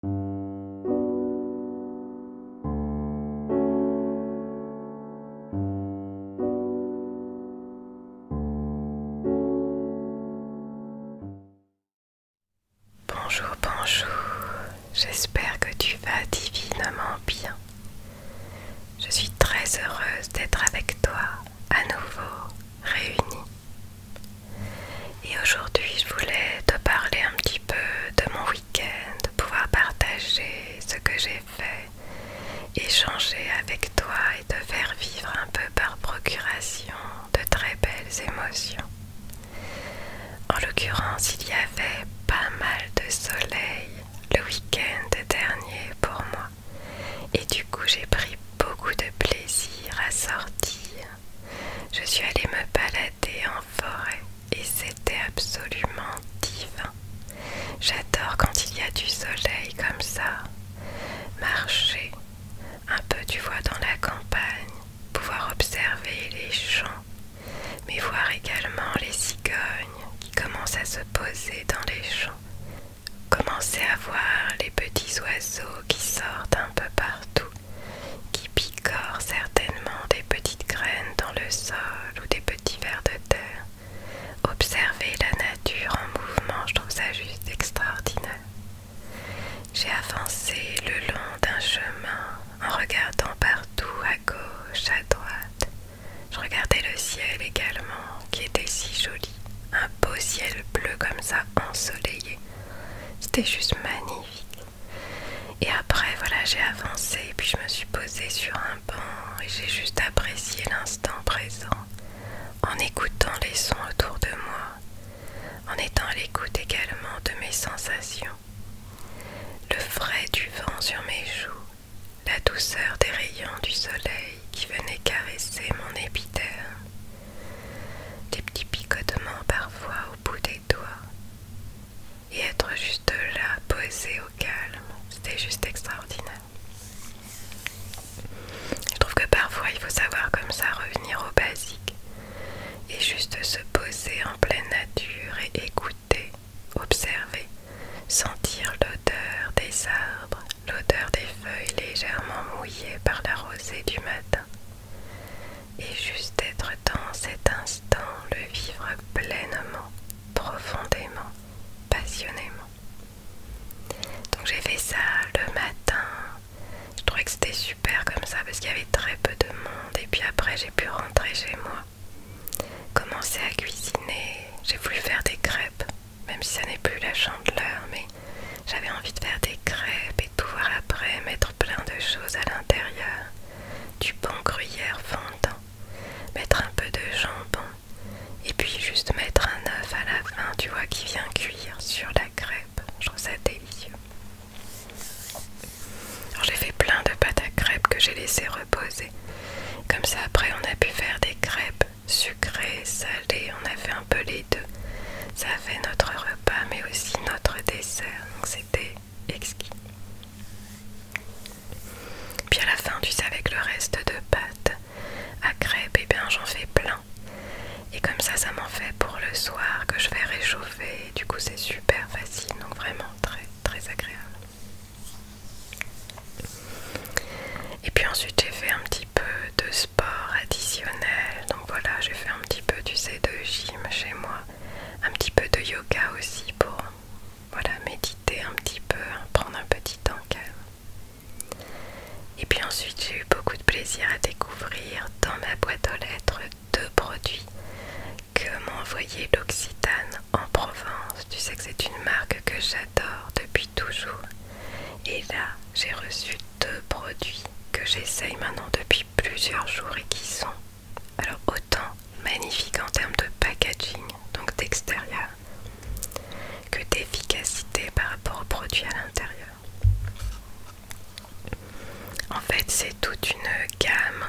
Bonjour, bonjour, j'espère que tu vas divinement bien. Je suis très heureuse d'être avec toi à nouveau réunie. Et aujourd'hui, je voulais te parler un petit peu de mon week-end, de pouvoir partager ce que j'ai fait, échanger avec toi et te faire vivre un peu par procuration de très belles émotions. En l'occurrence, il y avait pas mal de soleil le week-end dernier pour moi. Et du coup, j'ai pris beaucoup de plaisir à sortir, je suis allée me balader en forêt et c'était absolument divin. J'adore quand il y a du soleil comme ça. Marcher, un peu tu vois dans la campagne, pouvoir observer les champs, mais voir également les cigognes qui commencent à se poser dans les champs. Commencer à voir les petits oiseaux qui sortent un peu partout qui picorent certainement des petites graines dans le sol ou des petits vers de terre. Observer la nature en mouvement, je trouve ça juste extraordinaire. J'ai avancé le long d'un chemin en regardant partout, à gauche, à droite. Je regardais le ciel également, qui était si joli. Un beau ciel bleu comme ça, ensoleillé. C'était juste magnifique. Et après, voilà, j'ai avancé puis je me suis posée sur un banc et j'ai juste apprécié l'instant présent en écoutant les sons autour de moi, en étant à l'écoute également de mes sensations. Le frais du vent sur mes joues, la douceur des rayons du soleil qui venaient caresser mon épithère des petits picotements parfois au bout des et Et être juste là, posé au calme, c'était juste extraordinaire. Je trouve que parfois il faut savoir comme ça revenir au basique et juste se poser en pleine nature et écouter, observer, sentir l'odeur des arbres, l'odeur des feuilles légèrement mouillées par la rosée du matin, et juste être dans cet instant, le vivre pleinement, profondément, passionnément. Donc j'ai fait ça le matin. Je trouvais que c'était super comme ça parce qu'il y avait très peu de monde et puis après j'ai pu rentrer chez moi. Commencer à cuisiner, j'ai voulu faire des crêpes, même si ça n'est plus la chandeleur, mais j'avais envie de faire des crêpes pouvoir après, mettre plein de choses à l'intérieur. Du bon gruyère fondant, mettre un peu de jambon, et puis juste mettre un œuf à la fin, tu vois, qui vient cuire sur la crêpe. Je trouve ça délicieux. j'ai fait plein de pâtes à crêpes que j'ai laissé reposer. Comme ça après on a pu faire des crêpes sucrées, salées, on a fait un peu les deux. Ça fait notre repas mais aussi notre dessert exquis. Puis à la fin, tu sais, avec le reste de pâte à crêpes, et eh bien j'en fais plein. Et comme ça, ça m'en fait pour le soir que je vais réchauffer. du coup, c'est super facile, donc vraiment très très agréable. Et puis ensuite, j'ai fait un petit peu de sport additionnel. Donc voilà, j'ai fait un petit peu, tu sais, de gym chez moi un petit peu de yoga aussi pour méditer un petit peu, prendre un petit temps Et puis ensuite, j'ai eu beaucoup de plaisir à découvrir dans ma boîte aux lettres deux produits que m'ont envoyé l'Occitane en Provence. Tu sais que c'est une marque que j'adore depuis toujours. Et là, j'ai reçu deux produits que j'essaye maintenant depuis plusieurs jours et qui sont alors autant magnifiques en termes de packaging, donc d'extérieur, que d'efficacité par rapport aux produits à l'intérieur. En fait, c'est toute une gamme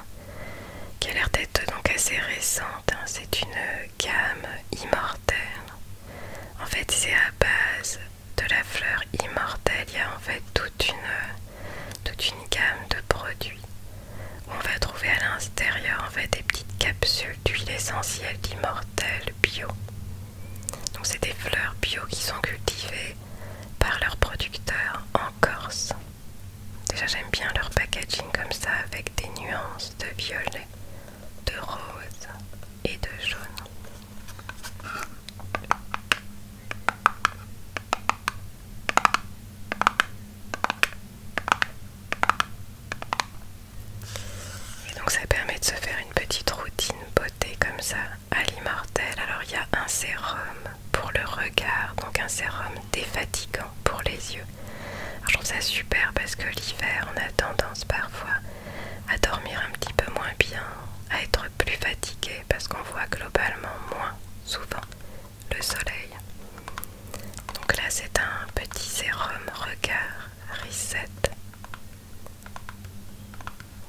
qui a l'air d'être donc assez récente. Hein. C'est une gamme immortelle. En fait, c'est à base de la fleur immortel, il y a en fait toute une, gamme de produits. On va trouver à l'intérieur en fait des petites capsules d'huile essentielle d'immortel bio. Donc c'est des fleurs bio qui sont cultivées par leurs producteurs en Corse. Déjà j'aime bien leur packaging comme ça avec des nuances de violet, de rose et de jaune. Et donc ça permet de se faire une petite routine beauté comme ça à l'immortel. Alors il y a un sérum pour le regard, donc un sérum défatigant pour les yeux. je trouve ça super parce que l'hiver on a tendance parfois à dormir un petit peu moins bien, à être plus fatigué parce qu'on voit globalement moins souvent le soleil. Donc là c'est un petit sérum regard reset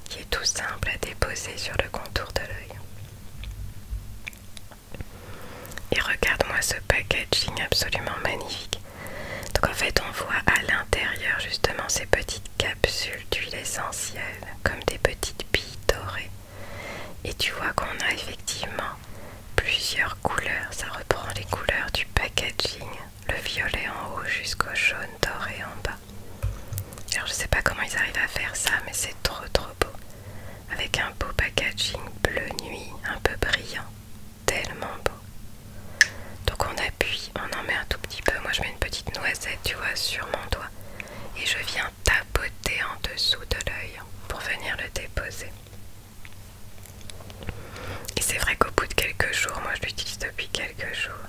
qui est tout simple à déposer sur le contour de l'œil. Et regarde-moi ce packaging absolument magnifique. Donc en fait on voit à l'intérieur justement ces petites capsules d'huile essentielle, comme des petites billes dorées. Et tu vois qu'on a effectivement plusieurs couleurs. Ça reprend les couleurs du packaging, le violet en haut jusqu'au jaune doré en bas. Alors je sais pas comment ils arrivent à faire ça, mais c'est trop trop beau. Avec un beau packaging bleu nuit, un peu brillant. Tellement beau. Donc on appuie, on en met un tout petit peu. Moi je mets une petite noisette, tu vois, sur mon doigt et je viens tapoter en dessous de l'œil pour venir le déposer. Et c'est vrai qu'au bout de quelques jours, moi je l'utilise depuis quelques jours,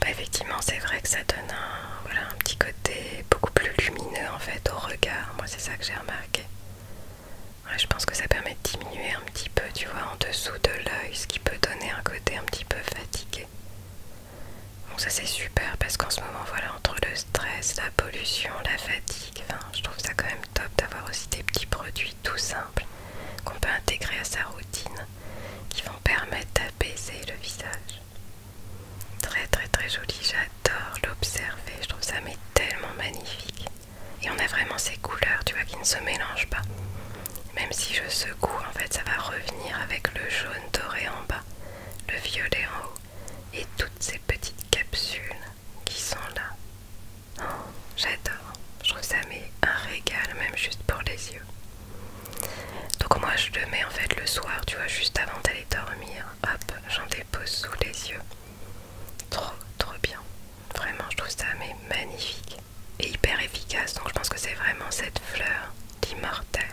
bah effectivement c'est vrai que ça donne un, petit côté beaucoup plus lumineux en fait au regard. Moi c'est ça que j'ai remarqué. je pense que ça permet de diminuer un petit peu, tu vois, en dessous de l'œil, ce qui peut donner un côté un petit peu fatigué. Bon ça c'est super parce qu'en ce moment voilà entre le stress, la pollution, la fatigue, enfin, je trouve ça quand même top d'avoir aussi des petits produits tout simples qu'on peut intégrer à sa routine qui vont permettre d'apaiser le visage. Très très très joli, j'adore l'observer, je trouve ça mais tellement magnifique. Et on a vraiment ces couleurs, tu vois, qui ne se mélangent pas. Même si je secoue, en fait, ça va revenir avec le jaune, doré en bas, le violet en haut, et toutes ces petites capsules qui sont là. Oh, j'adore, je trouve ça mais un régal même juste pour les yeux. Donc moi je le mets en fait le soir, tu vois, juste avant d'aller dormir, hop, j'en dépose sous les yeux. Trop trop bien. Vraiment je trouve ça mais magnifique et hyper efficace. Donc je pense que c'est vraiment cette fleur d'immortel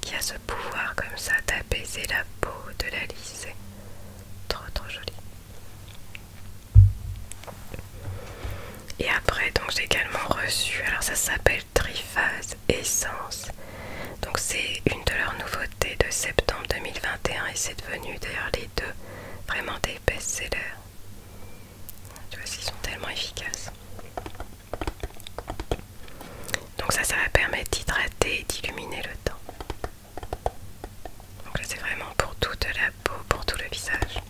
qui a ce pouvoir comme ça d'apaiser la peau, de la lisser. Trop trop joli. Et après, donc j'ai également reçu, alors ça s'appelle Triphase Essence. Donc c'est une de leurs nouveautés de septembre 2021 et c'est devenu d'ailleurs les deux vraiment des best-sellers. Tu vois, ils sont tellement efficaces. Donc ça, ça va permettre d'hydrater et d'illuminer le teint. Donc là, c'est vraiment pour toute la peau, pour tout le visage.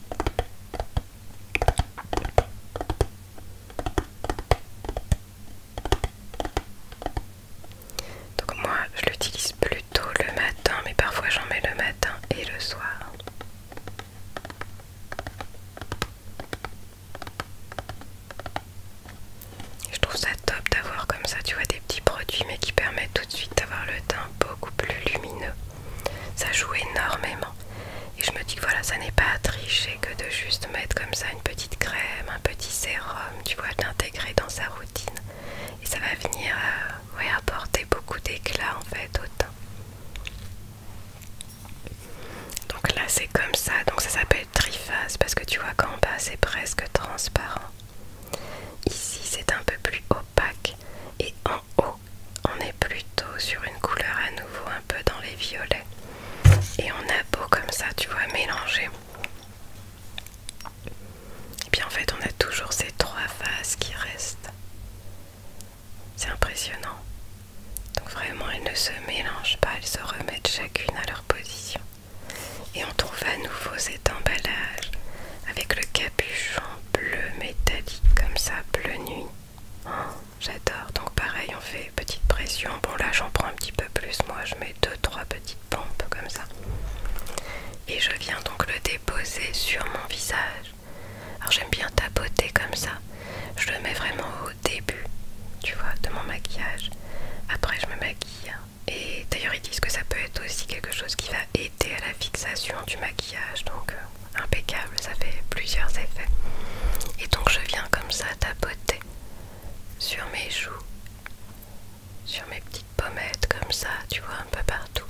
Donc moi, je l'utilise plutôt le matin, mais parfois j'en mets le matin et le soir. Je trouve ça top d'avoir comme ça, tu vois, des petits produits mais qui permettent tout de suite d'avoir le teint beaucoup plus lumineux. Ça joue énormément. Et je me dis que voilà, ça n'est pas à tricher que de juste mettre comme ça une petite crème, un petit sérum, tu vois, l'intégrer dans sa routine. Et ça va venir euh, apporter beaucoup d'éclat en fait au teint. Donc là c'est comme ça, donc ça s'appelle triphase parce que tu vois qu'en bas c'est presque transparent. Ici c'est un peu plus opaque et en haut on est plutôt sur une couleur à nouveau un peu dans les violets. Et on a beau comme ça, tu vois, mélanger. Et puis en fait on a toujours ces trois phases qui restent. C'est impressionnant. Donc vraiment, elles ne se mélangent pas, elles se remettent chacune à leur position. Et on trouve à nouveau cet emballage avec le capuchon bleu métallique comme ça, bleu nuit. Oh, j'adore. Donc pareil, on fait petite pression. Bon là, j'en prends un petit peu plus. Moi, je mets deux, trois petites pompes comme ça. Et je viens donc le déposer sur mon visage. Alors j'aime bien tapoter comme ça. Je le mets vraiment au début, tu vois, de mon maquillage. Après je me maquille. Et d'ailleurs ils disent que ça peut être aussi quelque chose qui va aider à la fixation du maquillage. Donc euh, impeccable, ça fait plusieurs effets. Et donc je viens comme ça tapoter sur mes joues, sur mes petites pommettes comme ça, tu vois, un peu partout.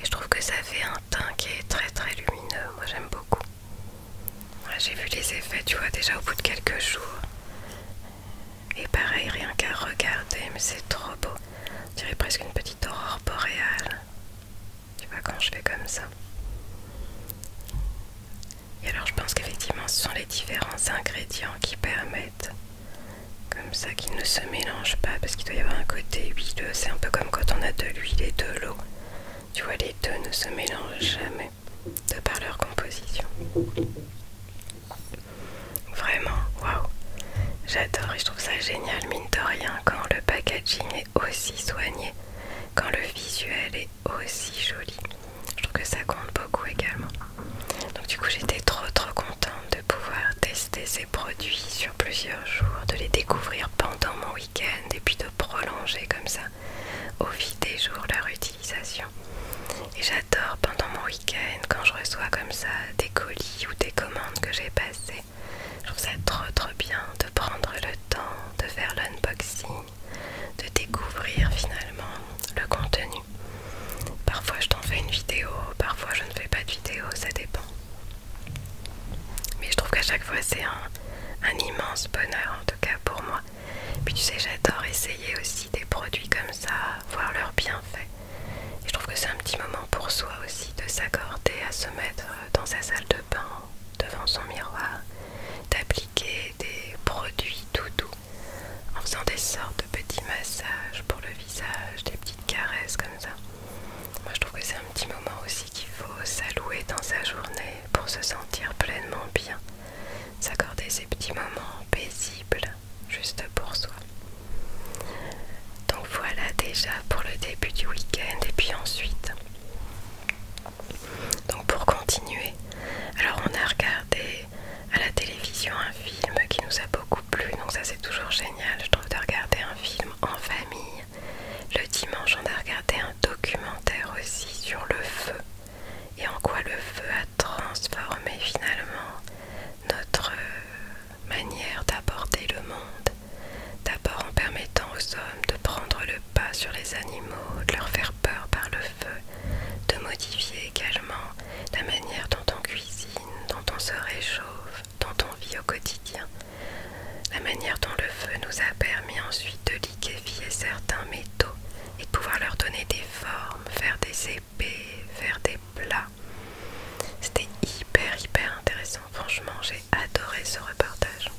Et je trouve que ça fait un teint qui est très très lumineux. Moi j'aime beaucoup. J'ai vu les effets, tu vois, déjà au bout de quelques jours. Et pareil, rien qu'à regarder, mais c'est trop beau. On presque une petite aurore boréale. Tu vois, quand je fais comme ça. Et alors, je pense qu'effectivement, ce sont les différents ingrédients qui permettent. Comme ça, qu'ils ne se mélangent pas, parce qu'il doit y avoir un côté huileux. C'est un peu comme quand on a de l'huile et de l'eau. Tu vois, les deux ne se mélangent jamais de par leur composition. Vraiment, waouh! J'adore et je trouve ça génial, mine de rien, quand le packaging est aussi soigné, quand le visuel est aussi joli. Je trouve que ça compte beaucoup également. Donc, du coup, j'étais trop trop contente de pouvoir tester ces produits sur plusieurs jours, de les découvrir pendant mon week-end et puis prolonger comme ça au fil des jours leur utilisation. Et j'adore pendant mon week-end quand je reçois comme ça des colis ou des commandes que j'ai passées. Je trouve ça trop trop bien de prendre le temps de faire l'unboxing, de découvrir finalement le contenu. Parfois je t'en fais une vidéo, parfois je ne fais pas de vidéo, ça dépend. Mais je trouve qu'à chaque fois c'est un, un immense bonheur en tout cas pour moi. Puis tu sais, j'adore essayer aussi des produits comme ça, voir leurs bienfaits. je trouve que c'est un petit moment pour soi aussi de s'accorder à se mettre dans sa salle de bain, devant son miroir, d'appliquer des produits tout doux en faisant des sortes de petits massages pour le visage, des petites caresses comme ça. Moi je trouve que c'est un petit moment aussi qu'il faut s'allouer dans sa journée pour se sentir pleinement bien, s'accorder ces petits moments paisibles juste pour soi. Donc voilà déjà pour le début du week-end et puis ensuite. Donc pour continuer, alors on a regardé à la télévision un film qui nous a beaucoup plu, donc ça c'est toujours génial je trouve de regarder un film en famille le dimanche, on a regardé un documentaire aussi sur le feu et en quoi le feu a transformé finalement notre euh, manière d'aborder le monde. D'abord en permettant aux hommes de prendre le pas sur les animaux, de leur faire peur par le feu, de modifier également la manière dont on cuisine, dont on se réchauffe, dont on vit au quotidien. La manière dont le feu nous a permis ensuite de liquéfier certains métaux et de pouvoir leur donner des formes, faire des épées, faire des plats. C'était hyper hyper intéressant, franchement j'ai adoré ce reportage.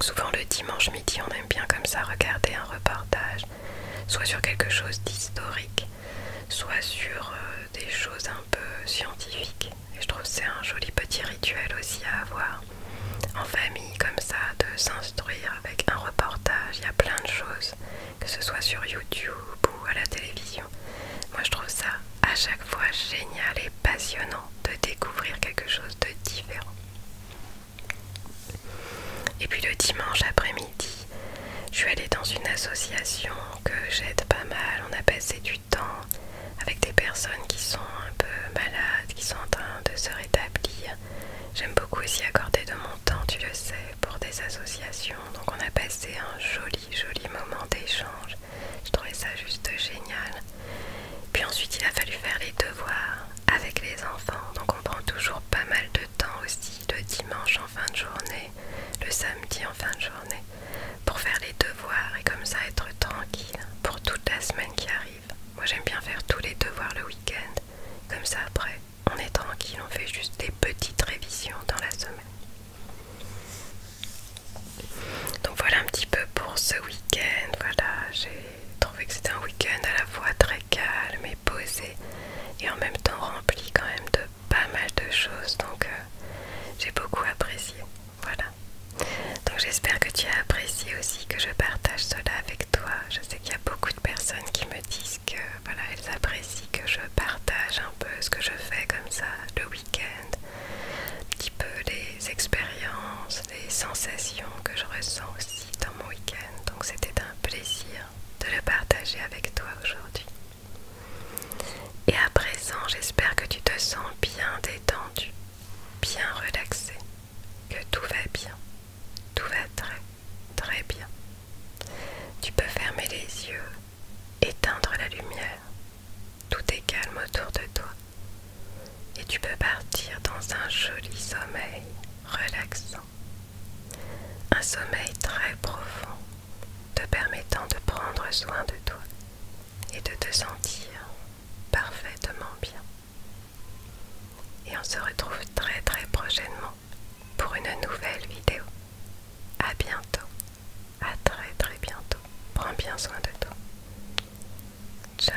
souvent le dimanche midi on aime bien comme ça regarder un reportage, soit sur quelque chose d'historique, soit sur euh, des choses un peu scientifiques je trouve c'est un joli petit rituel aussi à avoir en famille comme ça, de s'instruire avec un reportage. Il y a plein de choses, que ce soit sur YouTube ou à la télévision. Moi je trouve ça à chaque fois génial et passionnant de découvrir quelque chose de différent. Et puis le dimanche après-midi, je suis allée dans une association que j'aide pas mal. On a passé du temps avec des personnes qui sont un peu malades, qui sont en train de se rétablir. J'aime beaucoup aussi accorder de mon temps, tu le sais, pour des associations. Donc on a passé un joli, joli moment d'échange. Je trouvais ça juste génial. Puis ensuite il a fallu faire les devoirs avec les enfants. Donc on prend toujours pas mal de temps aussi, le dimanche en fin de journée, le samedi en fin de journée pour faire les devoirs et comme ça être tranquille pour toute la semaine qui arrive. Moi j'aime bien faire tous les devoirs le week-end, comme ça après on est tranquille, on fait juste des petites révisions dans la semaine. Donc voilà un petit peu pour ce week-end, voilà j'ai trouvé que c'était un week-end à la fois très calme et posé et en même temps rempli quand même de pas mal de choses donc euh, j'ai beaucoup apprécié. Voilà. Donc j'espère que tu as apprécié aussi que je partage cela avec toi. Je sais qu'il y a beaucoup de personnes qui me disent que voilà, elles apprécient que je partage un peu ce que je fais comme ça le week-end, un petit peu les expériences, les sensations que je ressens aussi dans mon week-end. Donc c'était un plaisir de le partager avec toi aujourd'hui. Et à présent, j'espère que tu te sens bien détendu, bien relaxé, que tout va bien, tout va très très bien. Tu peux fermer les yeux, éteindre la lumière, tout est calme autour de toi et tu peux partir dans un joli sommeil relaxant, un sommeil très profond te permettant de prendre soin de toi et de te sentir parfaitement bien. Et on se retrouve très très prochainement pour une nouvelle vidéo. À bientôt. À très très bientôt. Prends bien soin de toi. Ciao.